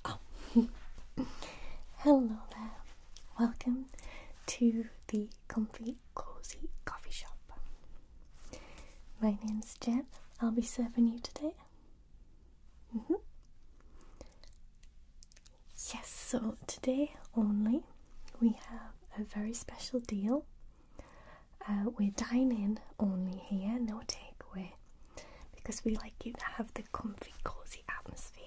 Oh. Hello there. Welcome to the Comfy Cozy Coffee Shop. My name's Jen. I'll be serving you today. Mm-hmm. Yes, so today only we have a very special deal uh, we're dining only here, no takeaway, because we like you to have the comfy, cozy atmosphere.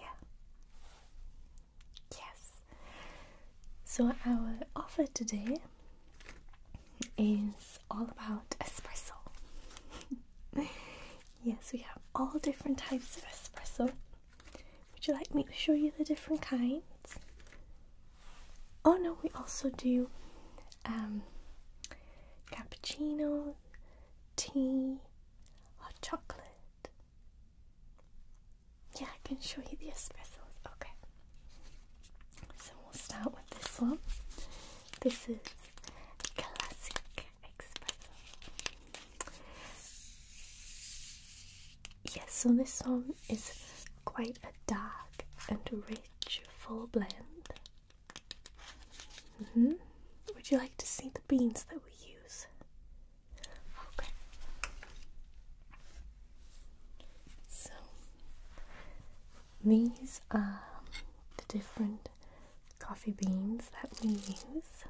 Yes. So, our offer today is all about espresso. yes, we have all different types of espresso. Would you like me to show you the different kinds? Oh no, we also do um, cappuccino, tea, hot chocolate. Yeah, I can show you the espressos. Okay. So we'll start with this one. This is classic espresso. Yes, so this one is quite a dark and rich full blend. Mm-hmm. Would you like to see the beans that we use? Okay. So, these are the different coffee beans that we use.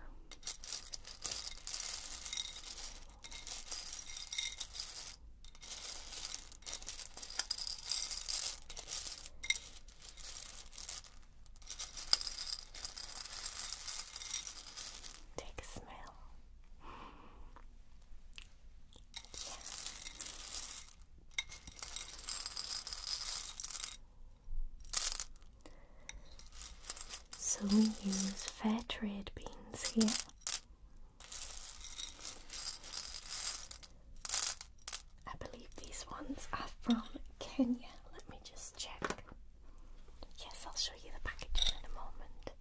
Take a smell. Yeah. So we use fair trade beans here I believe these ones are from Kenya. Let me just check. Yes, I'll show you the packaging in a moment.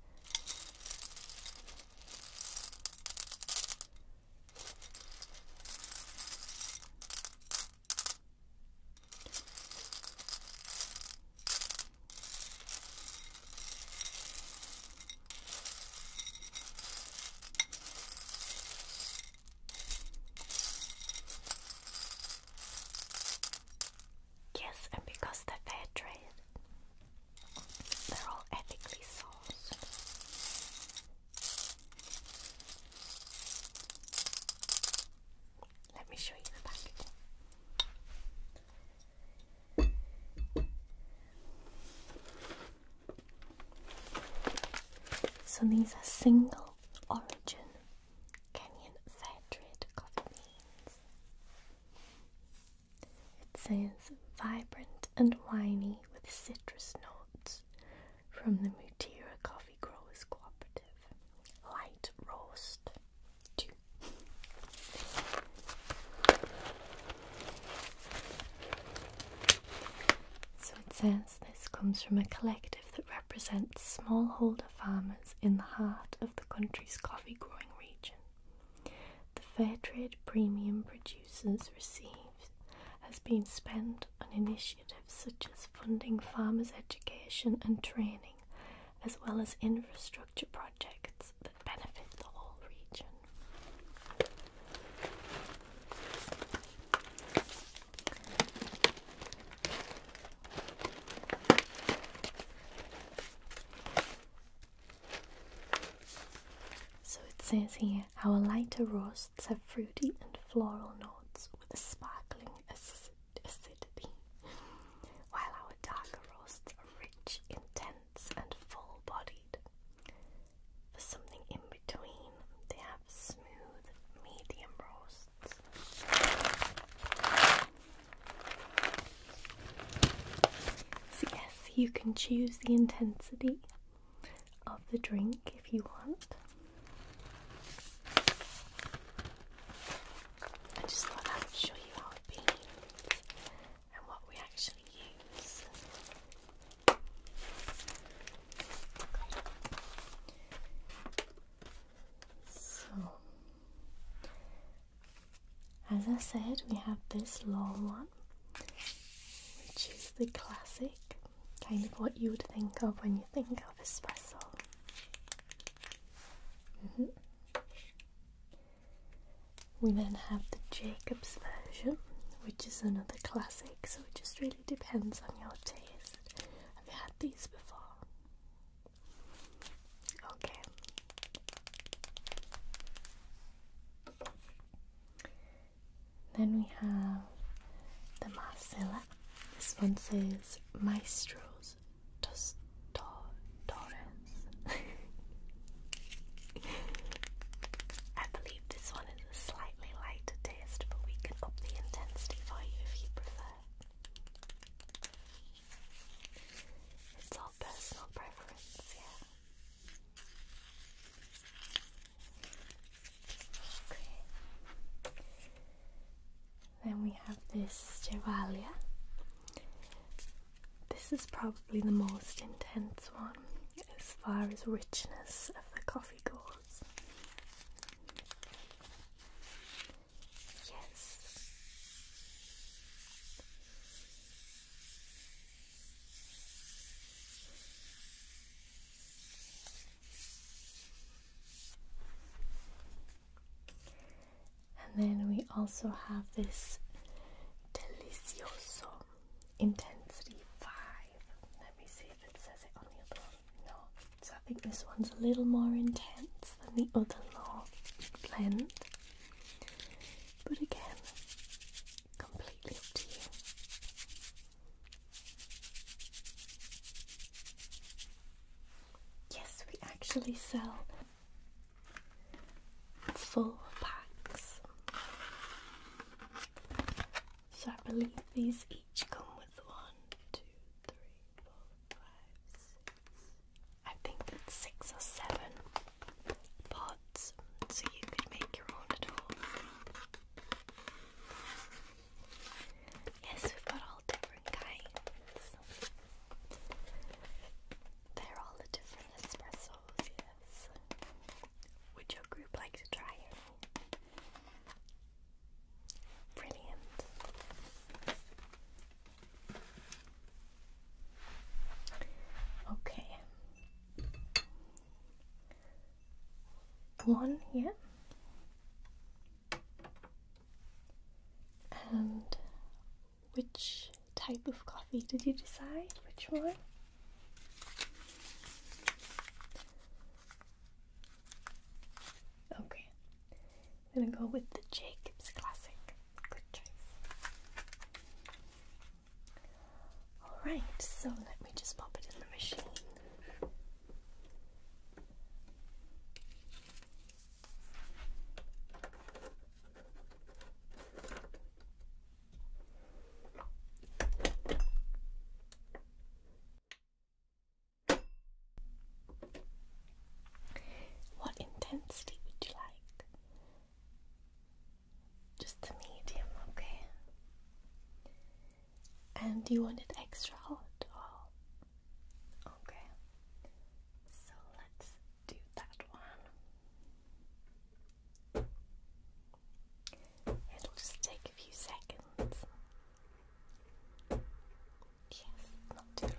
Yes, and because they're fair trade, they're all ethically sourced. Let me show you the packaging. So these are single origin Kenyan fair trade coffee beans. It says vibrant and winey with citrus notes from the Mutira Coffee Growers Cooperative. Light roast it says this comes from a collective that represents smallholder farmers in the heart of the country's coffee growing region. The fair trade premium producers receive has been spent on initiatives such as funding farmers' education and training, as well as infrastructure projects that benefit the whole region. So it says here our lighter roasts have fruity and floral notes with a sparkling acidity, while our darker roasts rich, intense, and full bodied. For something in between, they have smooth, medium roasts. So, yes, you can choose the intensity of the drink if you want. I just thought I would show you our beans and what we actually use. So, as I said, we have this long one, which is the classic kind of what you would think of when you think of espresso. Mm-hmm. We then have the Jacob's version, which is another classic, so it just really depends on your taste. Have you had these before? Okay. Then we have the Marcella. This one says Maestro's Tos to I believe this one is a slightly lighter taste, but we can up the intensity for you if you prefer. It's all personal preference, yeah. Okay. Then we have this Chevalier. This is probably the most intense one as far as richness of the coffee goes. Yes. And then we also have this delicioso intensity five. Let me see if it says it on the other No. So I think this one's a little more intense than the other law blend. But again, completely up to you. Yes, we actually sell four packs. So I believe these each come with one, two, three, four, five, six. I think that's six or seven pots, so you could make your own at home. Yes, we've got all different they're all the different espressos, yes. Would your group like to try Brilliant. Okay. One here. And which type of coffee did you decide? Which one? Okay, I'm gonna go with the Jacobs Classic. Good choice. Alright, so let me just pop it in the machine. What intensity would you like? Just the medium, okay. And do you want it extra hot or Okay, so let's do that one. It'll just take a few seconds. Yes, not too long.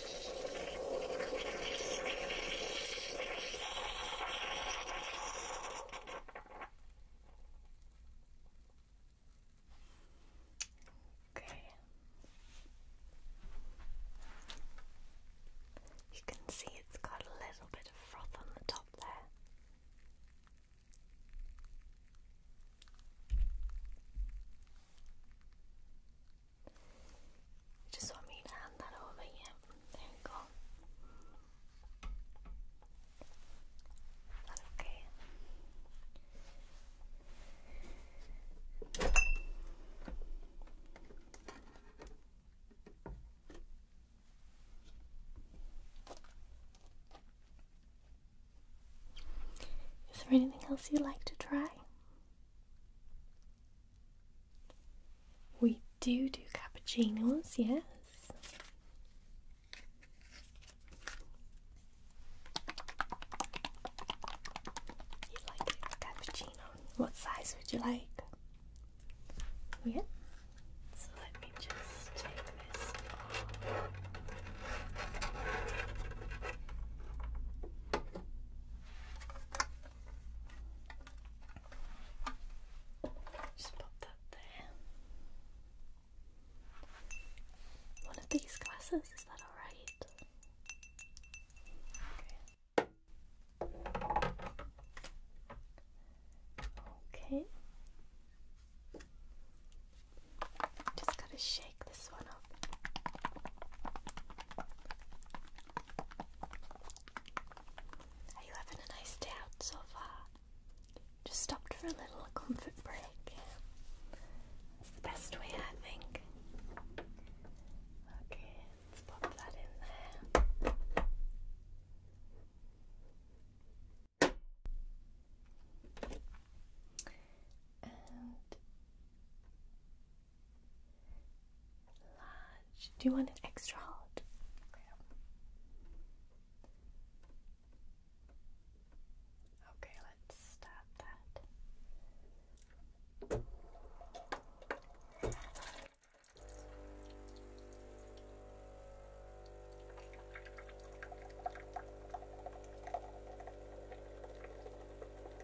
Okay. You can see it's got a little bit of froth on the top there just want me to hand that over, yeah. Is there anything else you'd like to try? We do do cappuccinos, yes. You like it, cappuccino. What size would you like? Yeah. So let me just take this off. Just pop that there. One of these glasses, is that alright? Okay. Just gotta shake this one are you having a nice day out so far? Just stopped for a little comfort break. That's the best way, I think. Okay, let's pop that in there. Large. Do you want it extra hot? Okay, let's start that.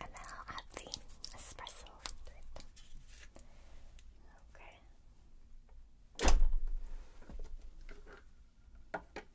And then I'll add the espresso to it. Okay. Okay.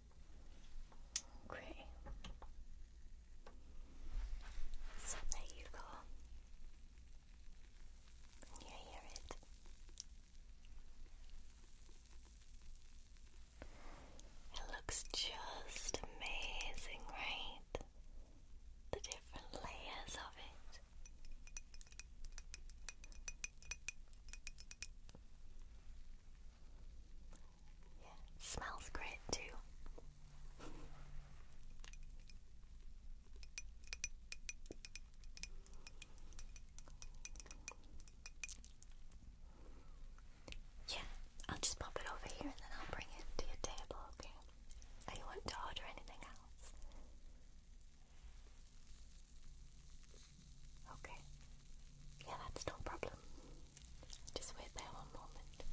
Okay. So there you go. you hear it? It looks just amazing, right? The different layers of it. Yeah, smells great too. Yeah, I'll just pop it over here and then I'll bring it to your table, okay? I want to order anything else. Okay. Yeah, that's no problem. Just wait there one moment.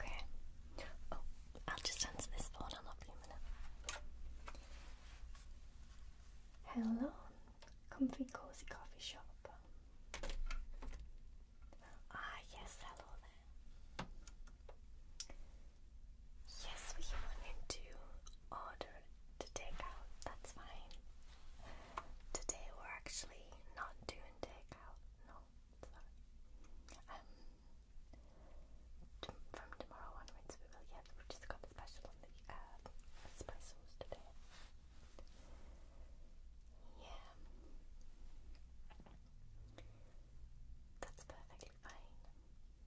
Okay. Oh, I'll just answer this phone. I'll not be a minute. Hello, comfy cozy coffee shop. Ah, yes, hello there. Yes, we wanted to order to take out, that's fine. Today we're actually not doing takeout, no, Um, from tomorrow onwards we will, yeah, we just got the special on the uh, espressos today. Yeah. That's perfectly fine.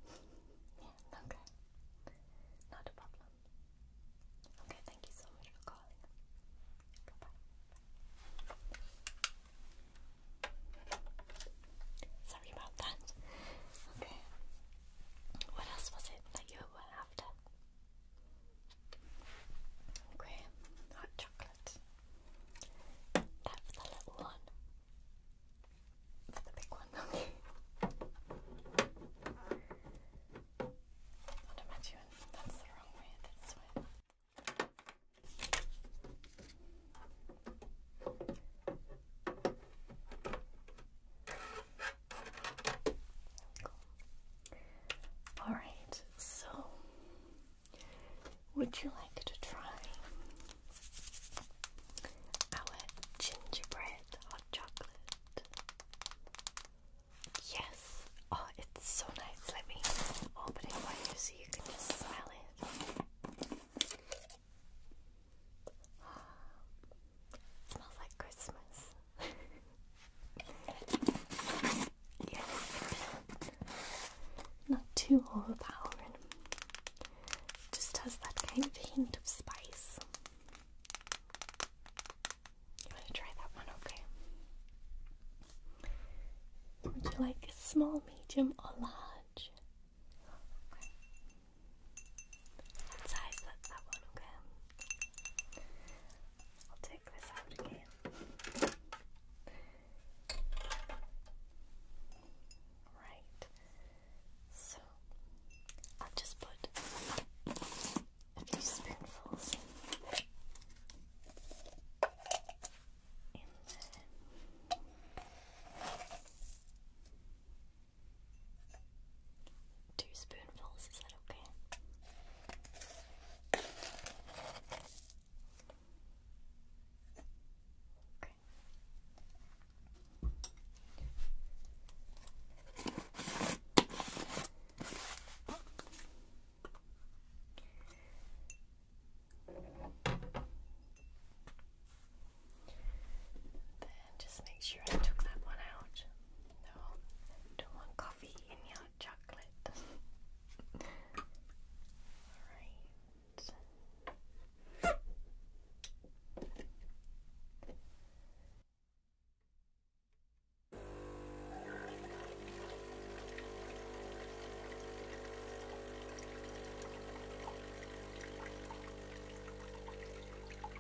yeah, okay. Not a problem. Okay, thank you so much for calling. Bye bye. Sorry about that. Okay. What else was it that you were after? Okay, hot chocolate. That the little one. For the big one, okay. I'd imagine that's the wrong way, this way. Alright, so would you like to try our gingerbread hot chocolate? Yes. Oh, it's so nice. Let me open it for you so you can just smell it. smells like Christmas not too overpowering. Just has that kind of hint of spice. I'm to try that one, okay? Would you like a small, medium, or large? size? That's that one, okay? I'll take this out again. Right. So I'll just put a few spoonfuls in there two spoonfuls, is that okay? Okay. Then just make sure I took that one out. No, don't want coffee in your chocolate. Alright.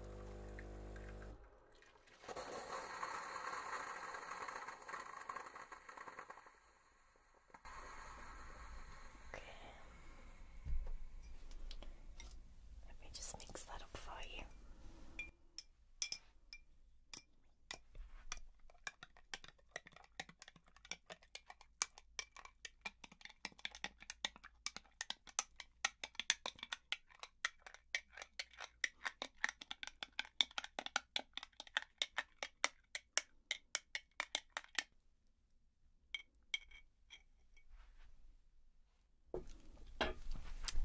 Okay. Let me just mix that up for you.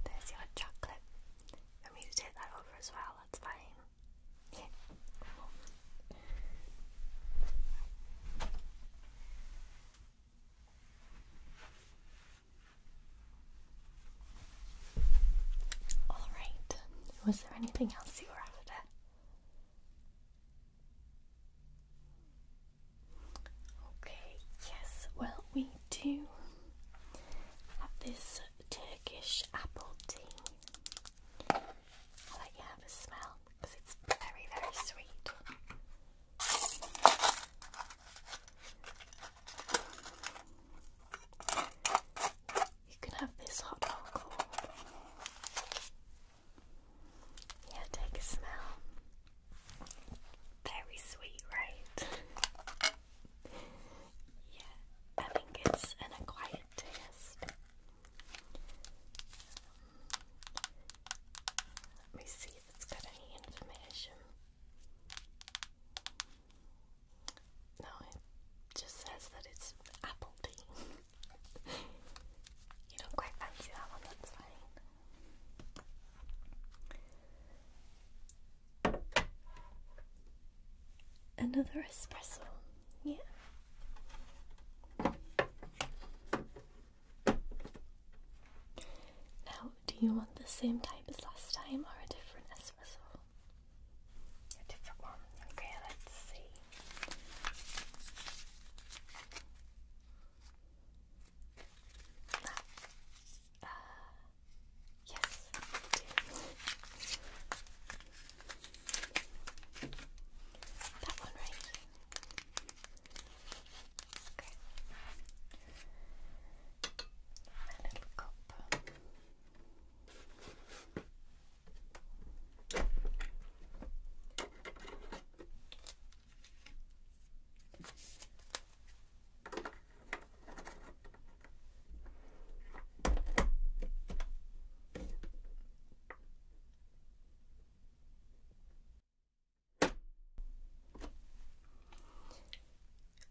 There's your chocolate. I mean to take that over as well, that's fine. Yeah. All right. Was there anything else you were after? Okay, yes, well, we do have this Turkish apple tea. I'll let you have a smell because it's very, very sweet. You can have this hot dog. Yeah, take a smell. Very sweet, right? yeah, I think it's an acquired taste. Let me see if it's got any information. No, it just says that it's apple tea. you don't quite fancy that one, that's fine. Another espresso, yeah. Now, do you want the same type as last time or a different espresso? A different one. Okay, let's see. Ah, uh, yes, I do. That one right. Okay. A little cup. Okay.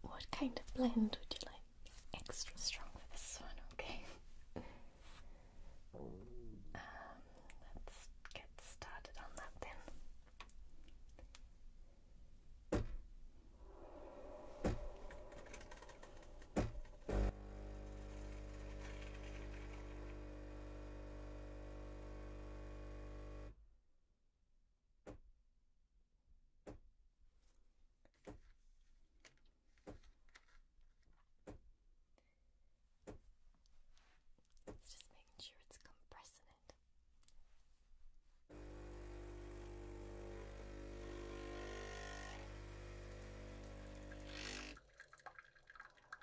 What kind of blend would you like? Extra strong for this one, okay? Um, let's get started on that then. It's just making sure it's compressing it.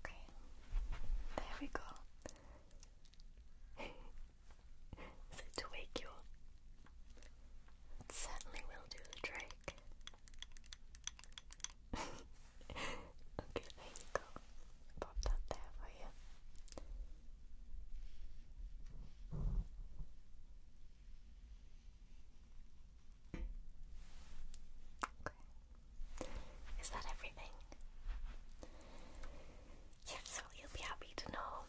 Okay, there we go. to wake you up? It certainly will do the trick. okay, there you go. Pop that there for you. Is that everything? Yes, so you'll be happy to know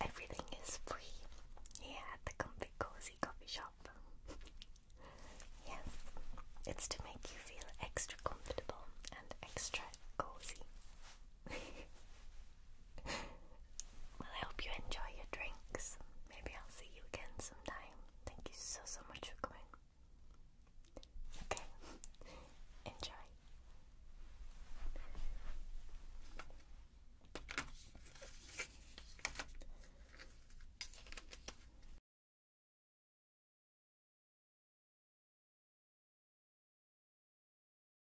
everything is free here at the Comfy Cozy Coffee Shop. yes, it's to make you feel extra comfortable and extra cozy well, I hope you enjoy your drinks. Maybe I'll see you again sometime. Thank you so, so much for coming. Okay, enjoy.